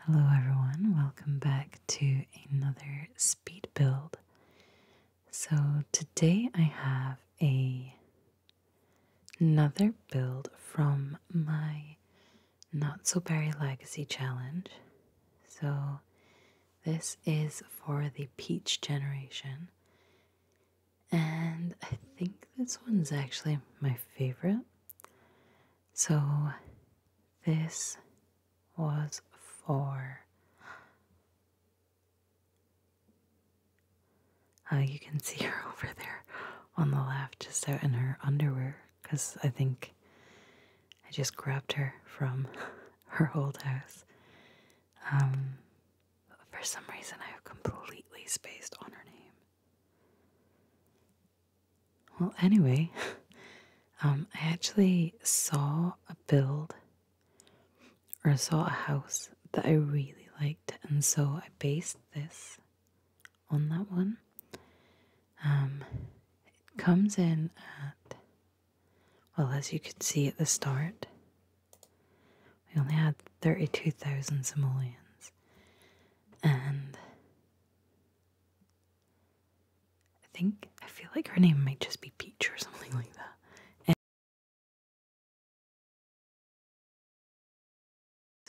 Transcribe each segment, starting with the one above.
Hello, everyone, welcome back to another speed build. So, today I have another build from my Not So Berry Legacy challenge. So, this is for the Peach generation, and I think this one's actually my favorite. So this was for. you can see her over there on the left, just out in her underwear, because I think I just grabbed her from her old house. Um, for some reason, I have completely spaced on her name. Well, anyway, um, I actually saw a build or saw a house that I really liked, and so I based this on that one. Um, it comes in at, well, as you could see at the start, we only had 32,000 simoleons, and I think, I feel like her name might just be Peach or something like that.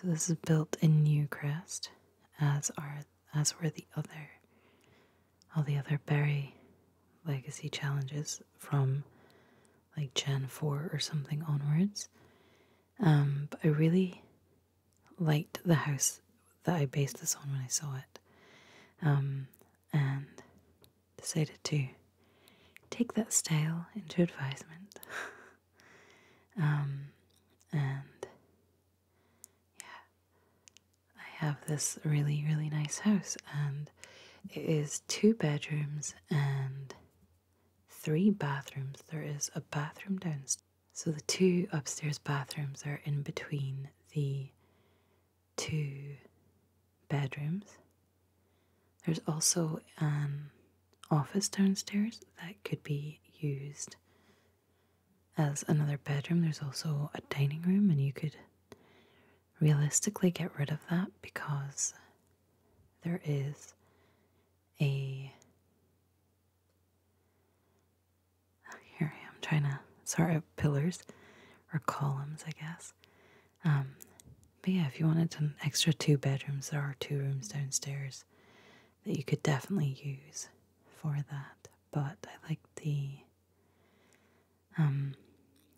so this is built in Newcrest, as are as were the other all the other Berry legacy challenges from like Gen 4 or something onwards. Um, but I really liked the house that I based this on when I saw it, um, and decided to take that style into advisement. um, and yeah, I have this really, really nice house, and it is two bedrooms and three bathrooms. There is a bathroom downstairs. So the two upstairs bathrooms are in between the two bedrooms. There's also an office downstairs that could be used as another bedroom. There's also a dining room, and you could realistically get rid of that because there is a Oh, here I am trying to sort out pillars or columns, I guess. Um, but yeah, if you wanted an extra two bedrooms, there are two rooms downstairs that you could definitely use for that. But I like the um,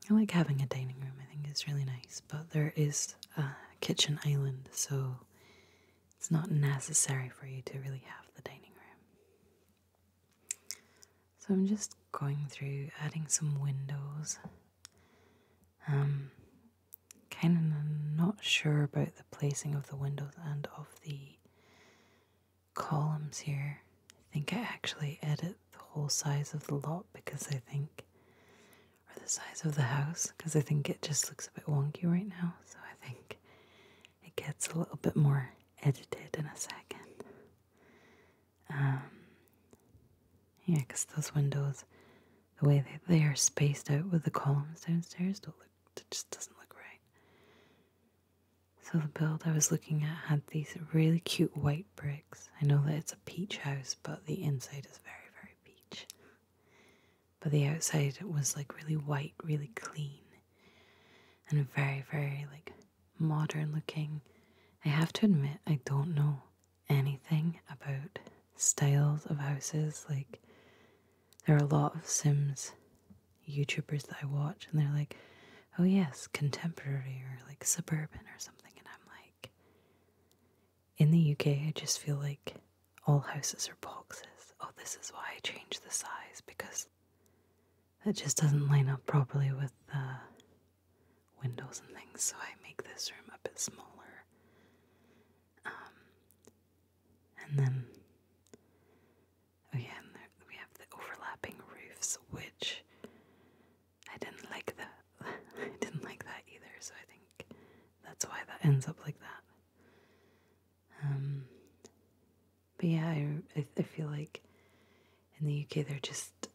I like having a dining room. I think it's really nice. But there is a kitchen island, so it's not necessary for you to really have the dining room. So I'm just going through adding some windows. Um, kind of not sure about the placing of the windows and of the columns here. I think I actually edit the whole size of the lot because I think, or the size of the house, because I think it just looks a bit wonky right now. So I think it gets a little bit more edited in a second. Um, yeah, because those windows, the way they, they are spaced out with the columns downstairs, don't look. It just doesn't look right. So the build I was looking at had these really cute white bricks. I know that it's a peach house, but the inside is very, very peach but the outside was like really white, really clean, and very, very like modern looking. I have to admit, I don't know anything about styles of houses. Like, there are a lot of Sims YouTubers that I watch, and they're like, oh, yes, contemporary or like suburban or something. And I'm like, in the UK, I just feel like all houses are boxes. Oh, this is why I changed the size because it just doesn't line up properly with the windows and things, so I make this room a bit smaller. Um, and then, oh yeah, we have the overlapping roofs, which I didn't like that. I didn't like that either, so I think that's why that ends up like that. Um, but yeah, I, I feel like in the UK they're just,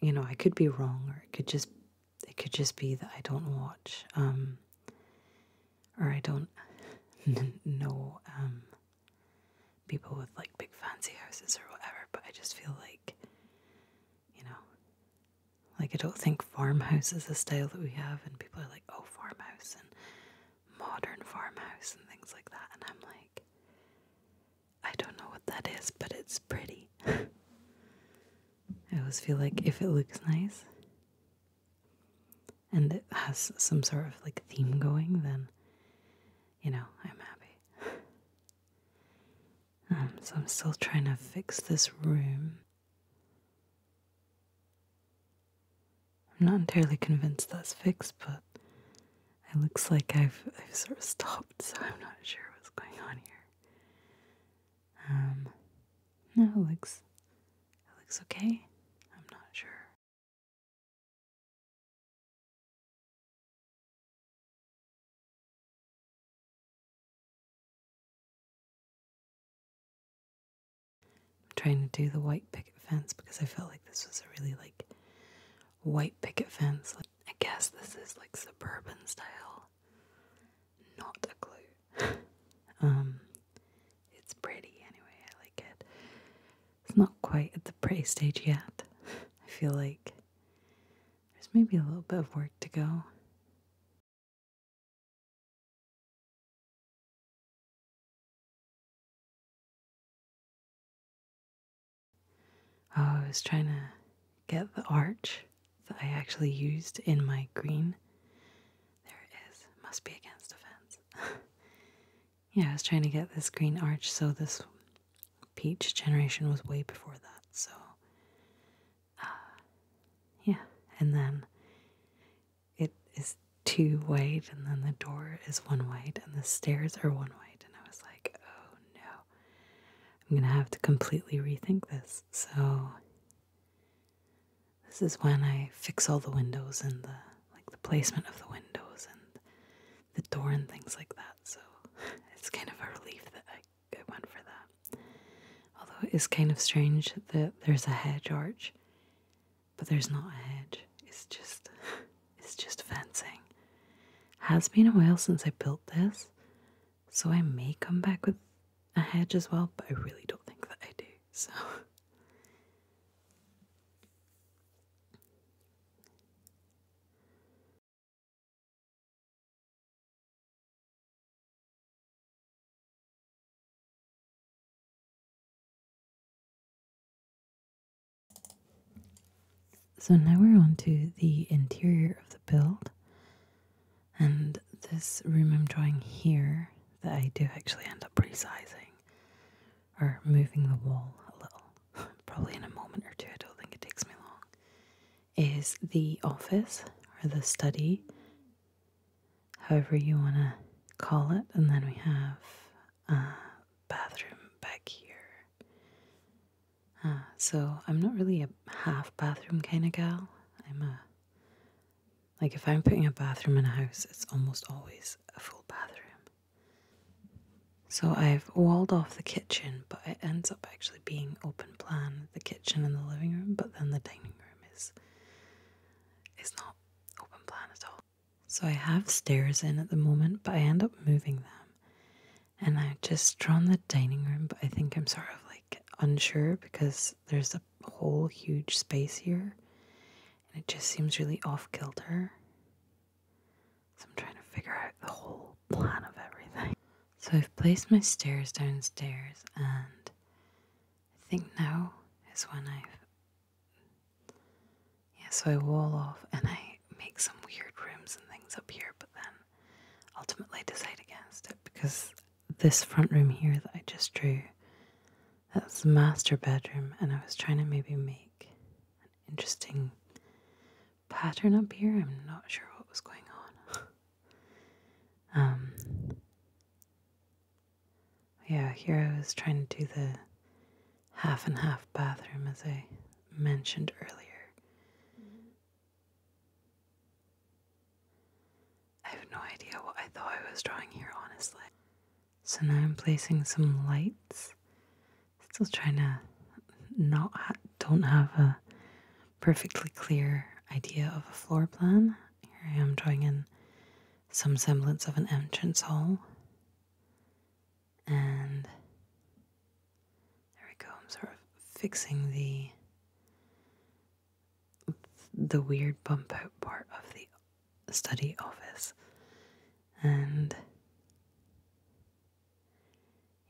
you know, I could be wrong, or it could just it could just be that I don't watch, um, or I don't know um, people with like big fancy houses or whatever. But I just feel like, you know, like, I don't think farmhouse is a style that we have, and people are like, oh, farmhouse and modern farmhouse and things like that. And I'm like, I don't know what that is, but it's pretty. I always feel like if it looks nice and it has some sort of like theme going, then you know, I'm happy. Um, so I'm still trying to fix this room. I'm not entirely convinced that's fixed, but it looks like I've, sort of stopped, so I'm not sure what's going on here. Um, no, it looks, it looks okay. I'm not sure. I'm trying to do the white picket fence because I felt like this was a really like white picket fence. I guess this is like suburban style. Not a clue. um it's pretty anyway, I like it. It's not quite at the pretty stage yet. I feel like there's maybe a little bit of work to go. Oh, I was trying to get the arch that I actually used in my green. There it is. Must be against a fence. yeah, I was trying to get this green arch, so this peach generation was way before that. So yeah, and then it is two white, and then the door is one white, and the stairs are one white. And I was like, oh no, I'm gonna have to completely rethink this. So this is when I fix all the windows and the like the placement of the windows and the door and things like that. So it's kind of a relief that I, I went for that. Although it is kind of strange that there's a hedge arch, but there's not a hedge. It's just it's just fencing. Has been a while since I built this, so I may come back with a hedge as well, but I really don't think that I do. So so now we're on to the interior of the build. And this room I'm drawing here that I do actually end up resizing or moving the wall a little, probably in a moment or two, I don't think it takes me long, is the office or the study however you want to call it. And then we have a uh, bathroom back here. Uh, so I'm not really a half bathroom kind of gal. I'm a like if I'm putting a bathroom in a house, it's almost always a full bathroom. So I've walled off the kitchen, but it ends up actually being open plan the kitchen and the living room, but then the dining room is it's not open plan at all. So I have stairs in at the moment, but I end up moving them. And I've just drawn the dining room, but I think I'm sort of like unsure because there's a whole huge space here. And it just seems really off kilter. So I'm trying to figure out the whole plan of everything. So I've placed my stairs downstairs and I think now is when I. Yeah, so I wall off and I make some weird rooms and things up here, but then ultimately decide against it because this front room here that I just drew, that's the master bedroom, and I was trying to maybe make an interesting pattern up here. I'm not sure what was going on. Um, yeah, here I was trying to do the half and half bathroom as I mentioned earlier. I have no idea what I thought I was drawing here, honestly. So now I'm placing some lights. Still trying to not don't have a perfectly clear idea of a floor plan. Here I am drawing in some semblance of an entrance hall. And there we go. I'm sort of fixing the the weird bump out part of the study office. And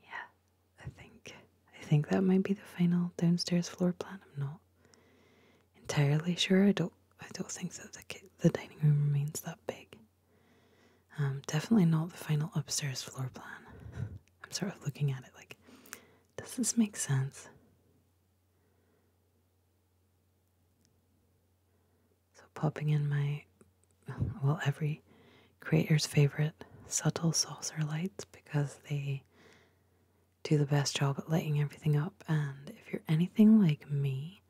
yeah, I think I think that might be the final downstairs floor plan. I'm not entirely sure. I don't I don't think that the the dining room remains that big. Um, definitely not the final upstairs floor plan. I'm sort of looking at it like, does this make sense? So popping in my well every creator's favorite subtle saucer lights because they do the best job at lighting everything up. And if you're anything like me,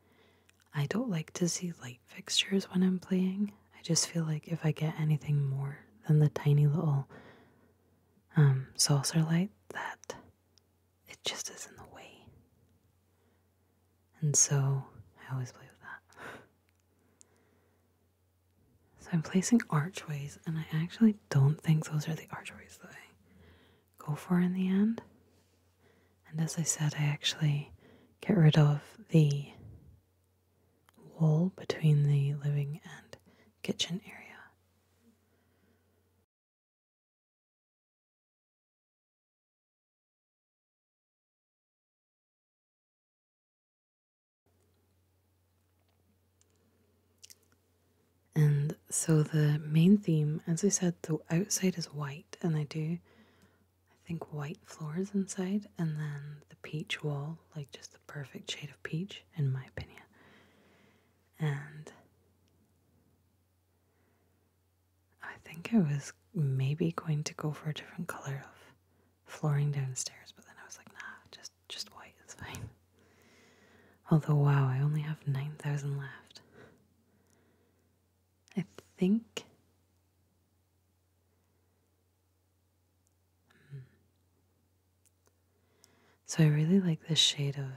I don't like to see light fixtures when I'm playing. I just feel like if I get anything more than the tiny little um, saucer light, that it just is in the way. And so I always play with that. So I'm placing archways, and I actually don't think those are the archways that I go for in the end. And as I said, I actually get rid of the wall between the living and kitchen area. And so the main theme, as I said, the outside is white, and I do, I think, white floors inside, and then the peach wall, like just the perfect shade of peach, in my opinion. And I think I was maybe going to go for a different color of flooring downstairs, but then I was like, nah, just just white is fine. Although, wow, I only have 9,000 left. I think. Hmm. So I really like this shade of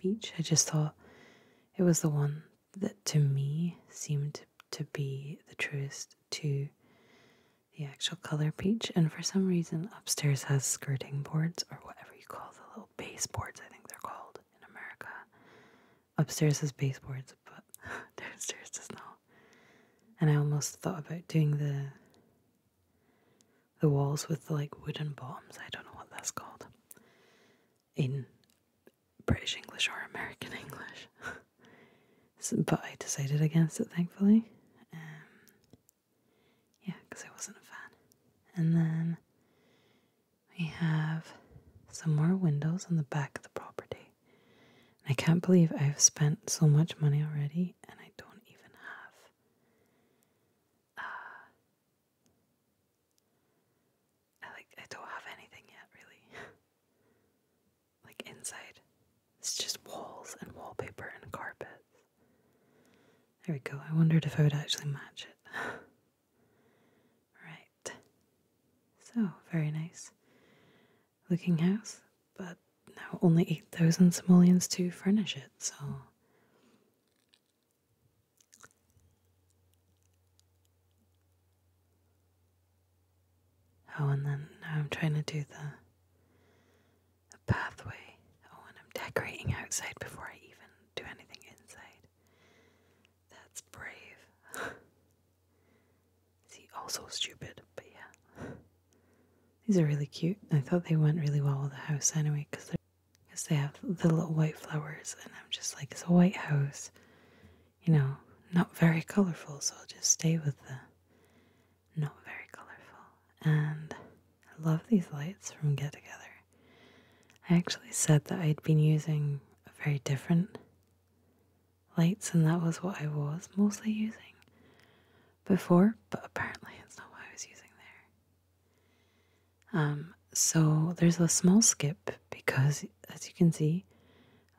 peach. I just thought it was the one that to me seemed to be the truest to the actual color peach. And for some reason, upstairs has skirting boards or whatever you call the little baseboards, I think they're called in America. Upstairs is baseboards, but downstairs is not. And I almost thought about doing the the walls with like wooden bottoms. I don't know what that's called in British English or American English. but I decided against it, thankfully. Um, yeah, because I wasn't a fan. And then we have some more windows on the back of the property. I can't believe I've spent so much money already and I don't even have. I uh, like I don't have anything yet, really. like inside, it's just walls and wallpaper and carpets. There we go. I wondered if I would actually match it. right. So, very nice looking house, but now only 8,000 simoleons to furnish it, so. Oh, and then I'm trying to do the a pathway. Oh, and I'm decorating outside before I even do anything inside. That's brave. See, also stupid, but yeah. These are really cute. I thought they went really well with the house anyway, because they have the little white flowers, and I'm just like, it's a white house, you know, not very colorful, so I'll just stay with the no, very colorful. And I love these lights from Get Together. I actually said that I'd been using very different lights, and that was what I was mostly using before, but apparently it's not what I was using there. Um, so there's a small skip because, as you can see,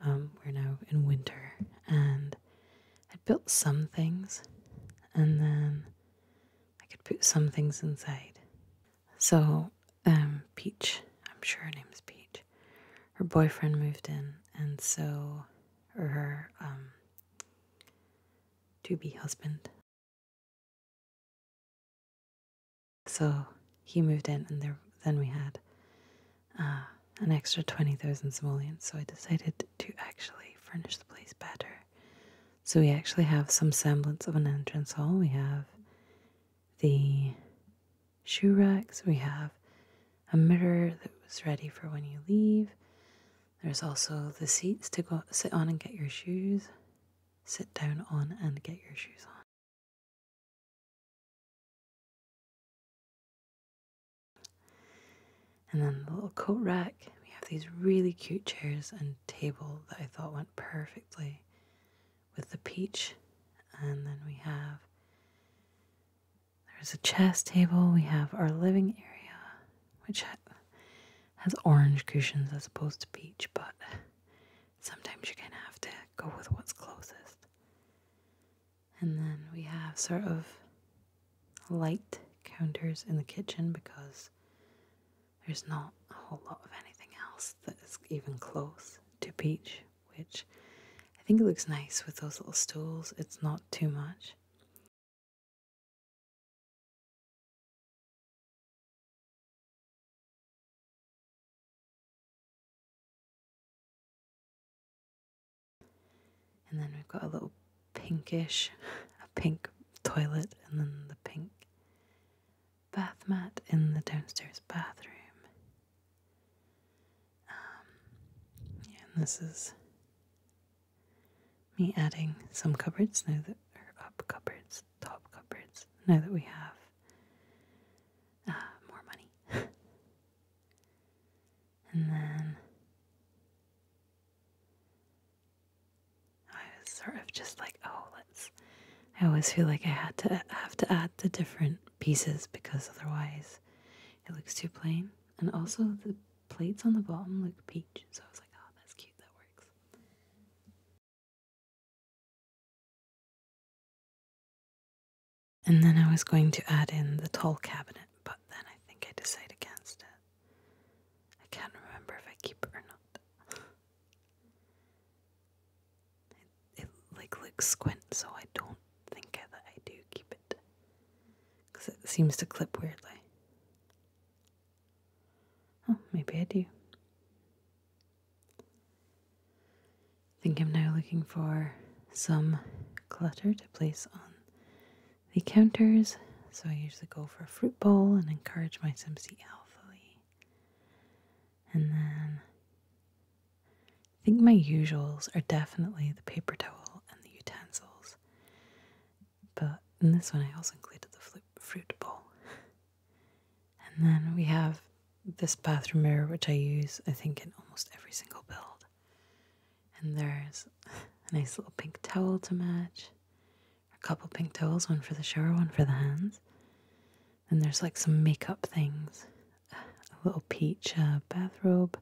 um, we're now in winter, and I built some things, and then I could put some things inside. So, um, Peach, I'm sure her name's Peach, her boyfriend moved in, and so, or her um, to be husband. So he moved in, and there, then we had uh, an extra 20,000 simoleons. So I decided to actually furnish the place better. So we actually have some semblance of an entrance hall. We have the shoe racks, we have a mirror that was ready for when you leave. There's also the seats to go sit on and get your shoes, sit down on and get your shoes on. And then the little coat rack, we have these really cute chairs and table that I thought went perfectly with the peach. And then we have there's a chess table, we have our living area, which has orange cushions as opposed to peach, but sometimes you kind of have to go with what's closest. And then we have sort of light counters in the kitchen because there's not a whole lot of anything else that is even close to peach, which I think it looks nice with those little stools. It's not too much. And then we've got a little pinkish, a pink toilet, and then the pink bath mat in the downstairs bathroom. Um, and this is me adding some cupboards now that are up cupboards, top cupboards, now that we have uh, more money. and then I was sort of just like, oh, let's. I always feel like I had to have to add the different pieces because otherwise it looks too plain. And also the plates on the bottom look peach, so I was like, oh, that's cute, that works. And then I was going to add in the tall cabinet, but then I think I decided against it. I can't remember if I keep it or not. it, like looks squint, so I don't think that I do keep it, because it seems to clip weirdly. Oh, maybe I do. think I'm now looking for some clutter to place on the counters, so I usually go for a fruit bowl and encourage my Sims to eat healthily. And then I think my usuals are definitely the paper towel and the utensils. But in this one, I also included the fruit bowl. And then we have this bathroom mirror, which I use, I think, in almost every single build. And there's a nice little pink towel to match a couple pink towels, one for the shower, one for the hands. And there's like some makeup things a little peach uh, bathrobe,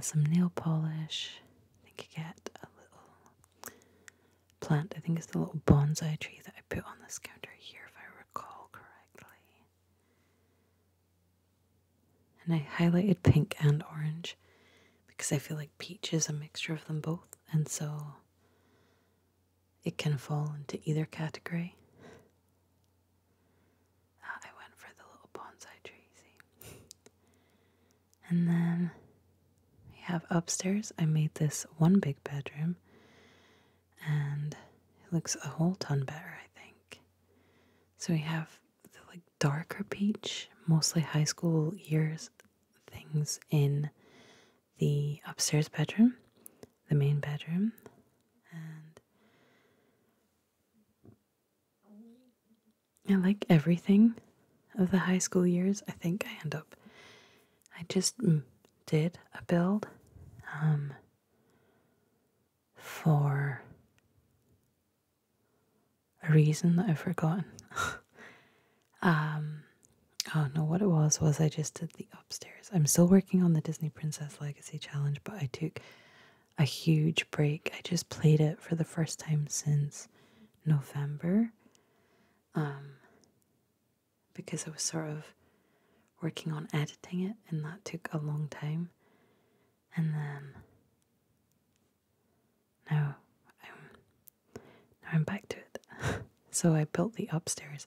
some nail polish. I think you get a little plant. I think it's the little bonsai tree that I put on this counter here, if I recall correctly. And I highlighted pink and orange because I feel like peach is a mixture of them both, and so it can fall into either category. Ah, I went for the little bonsai tree, and then we have upstairs, I made this one big bedroom, and it looks a whole ton better, I think. So we have like darker peach, mostly high school years things in the upstairs bedroom, the main bedroom, and I like everything of the high school years. I think I end up, I just mm, did a build um, for a reason that I've forgotten. um, don't know what it was was I just did the upstairs. I'm still working on the Disney Princess Legacy Challenge, but I took a huge break. I just played it for the first time since November. Um, because I was sort of working on editing it, and that took a long time. And then now I'm, now I'm back to it. so I built the upstairs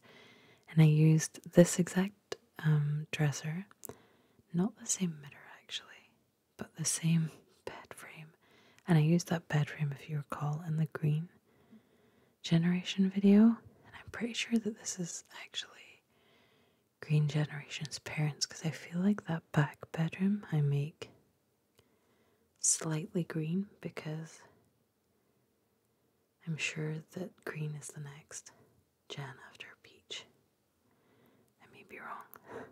and I used this exact um, dresser, not the same mirror actually, but the same bed frame. And I used that bed frame, if you recall, in the green generation video. And I'm pretty sure that this is actually green generation's parents because I feel like that back bedroom I make slightly green because I'm sure that green is the next gen after peach. I may be wrong.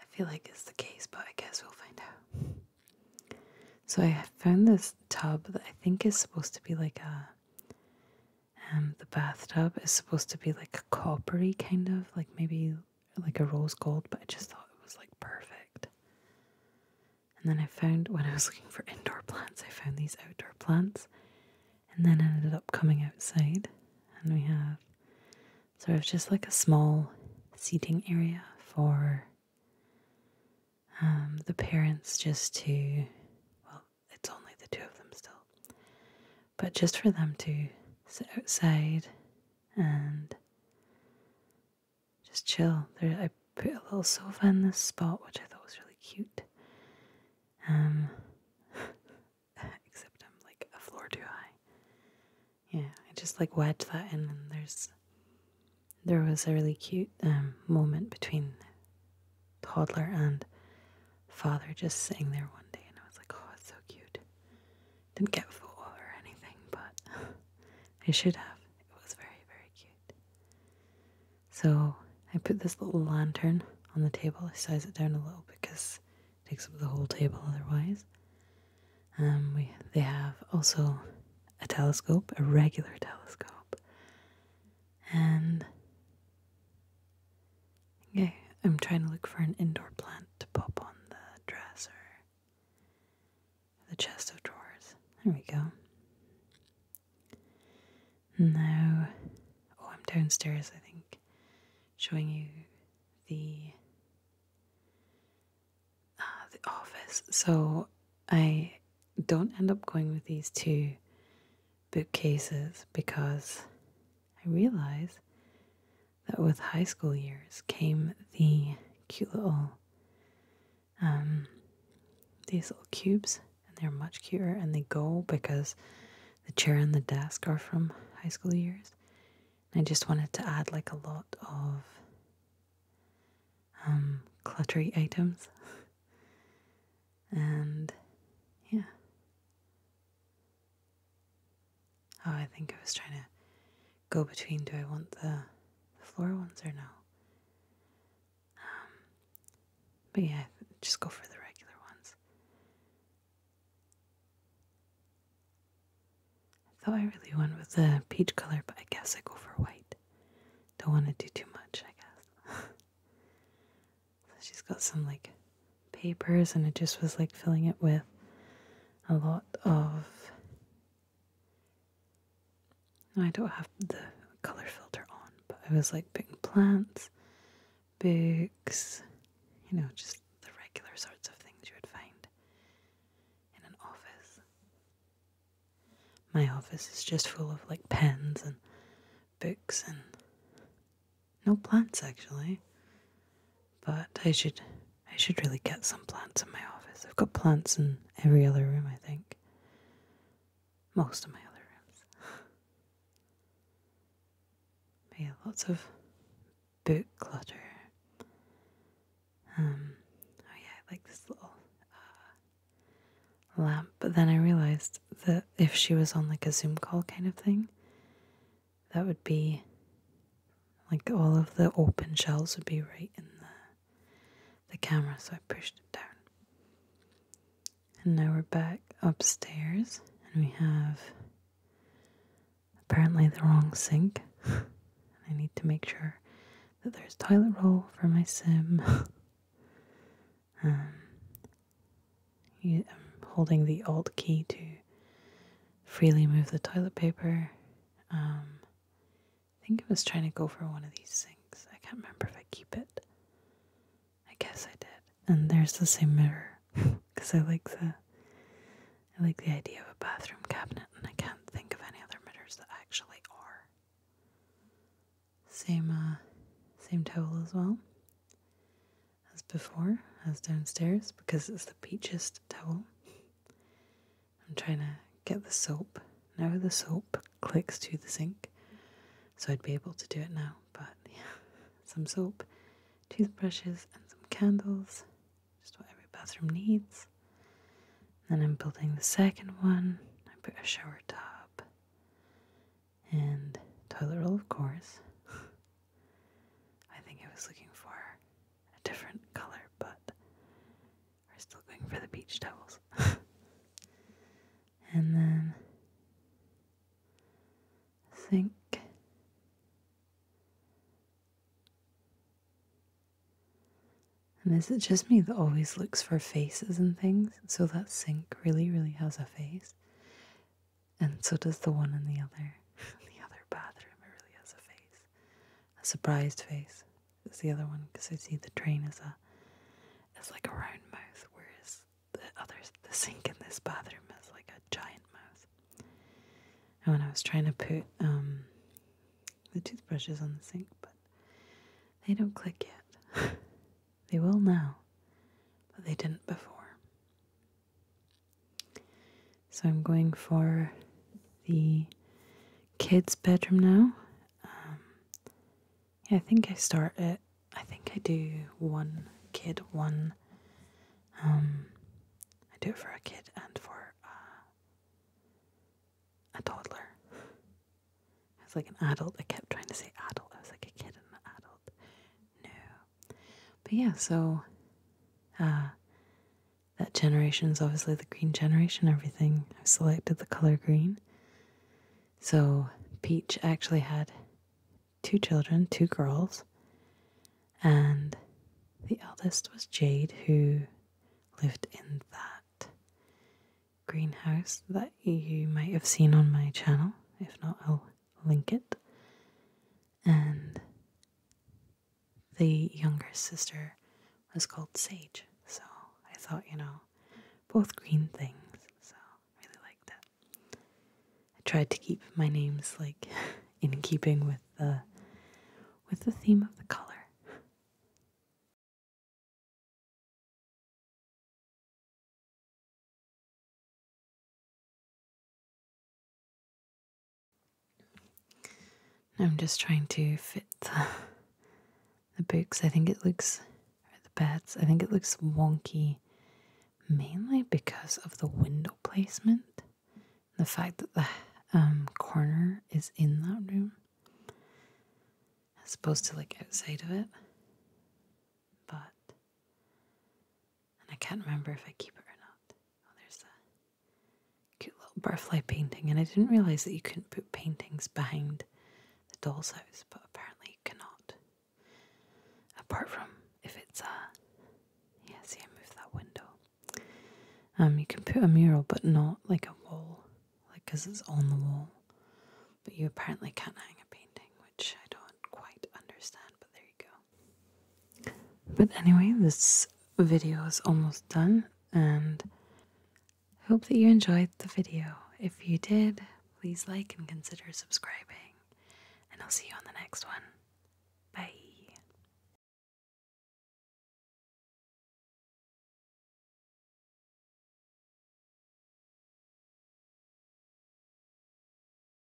I feel like it's the case, but I guess we'll find out. So I found this tub that I think is supposed to be like a um the bathtub is supposed to be like a coppery kind of like maybe like a rose gold, but I just thought it was like perfect. And then I found when I was looking for indoor plants, I found these outdoor plants, and then I ended up coming outside, and we have sort of just like a small seating area for um, the parents just to, well, it's only the two of them still, but just for them to sit outside and just chill. There, I put a little sofa in this spot, which I thought was really cute. Um, except I'm like a floor too high. Yeah, I just like wedged that in, and there's there was a really cute um, moment between toddler and father just sitting there one day, and I was like, oh, it's so cute. Didn't get full or anything, but I should have. It was very, very cute. So I put this little lantern on the table. I size it down a little because it takes up the whole table otherwise. Um, we they have also a telescope, a regular telescope, and Okay, I'm trying to look for an indoor plant to pop on the dresser. The chest of drawers. There we go. Now, oh, I'm downstairs, I think, showing you the ah, the office. So I don't end up going with these two bookcases because I realize that with high school years came the cute little, um, these little cubes, and they're much cuter, and they go because the chair and the desk are from high school years. I just wanted to add like a lot of um, cluttery items, and yeah, Oh, I think I was trying to go between do I want the, the floor ones or no? Um, but yeah, just go for the regular ones. I thought I really went with the peach color, but I guess I go for white. Don't want to do too much, I guess. so she's got some like papers and it just was like filling it with a lot of I don't have the color filter on, but I was like putting plants, books, you know, just the regular sorts of things you would find in an office. My office is just full of like pens and books and no plants actually. But I should I should really get some plants in my office. I've got plants in every other room, I think. Most of my other rooms. yeah, lots of book clutter. Um, oh yeah, I like this little uh, lamp. But then I realized that if she was on like a Zoom call kind of thing, that would be like all of the open shells would be right in the the camera so I pushed it down. And now we're back upstairs and we have apparently the wrong sink. I need to make sure that there's toilet roll for my sim. um, I'm holding the alt key to freely move the toilet paper. Um, I think I was trying to go for one of these sinks. I can't remember if I keep it. I guess I did. And there's the same mirror because I like the I like the idea of a bathroom cabinet, and I can't think of any other mirrors that actually are. Same uh, same towel as well as before, as downstairs, because it's the peachiest towel. I'm trying to get the soap. Now the soap clicks to the sink, so I'd be able to do it now. But yeah, some soap, toothbrushes, and some candles. Just what every bathroom needs. Then I'm building the second one. I put a shower tub and toilet roll, of course. I think I was looking for a different color, but we're still going for the beach towels. and then I think and is it just me that always looks for faces and things? So that sink really, really has a face and so does the one in the other the other bathroom. It really has a face, a surprised face. Is the other one because I see the drain is a is like a round mouth, whereas the other the sink in this bathroom is like a giant mouth. And when I was trying to put um, the toothbrushes on the sink, but they don't click yet. they will now, but they didn't before. So I'm going for the kids' bedroom now. Um, I think I start at, I think I do one kid, one. Um, I do it for a kid and for uh, a toddler. It's like an adult. I kept trying to say adult. I was like a kid and an adult. No. But yeah, so uh, that generation is obviously the green generation, everything. I've selected the color green. So Peach actually had two children, two girls, and the eldest was Jade, who lived in that greenhouse that you might have seen on my channel. If not, I'll link it. And the younger sister was called Sage. So I thought, you know, both green things. So I really liked that. I tried to keep my names like in keeping with the with the theme of the color. I'm just trying to fit the, books. I think it looks, the beds, I think it looks wonky mainly because of the window placement, the fact that the um, corner is in that room as opposed to like outside of it. But, and I can't remember if I keep it or not. Oh, there's that. Cute little butterfly painting, and I didn't realize that you couldn't put paintings behind the doll's house, but apparently you cannot. Apart from if it's a uh, yeah, see, I moved that window. Um, you can put a mural, but not like a wall, like because it's on the wall. But you apparently can't hang a painting, which I don't quite understand. But there you go. But anyway, this video is almost done, and I hope that you enjoyed the video. If you did, please like and consider subscribing, and I'll see you on the next one. Bye.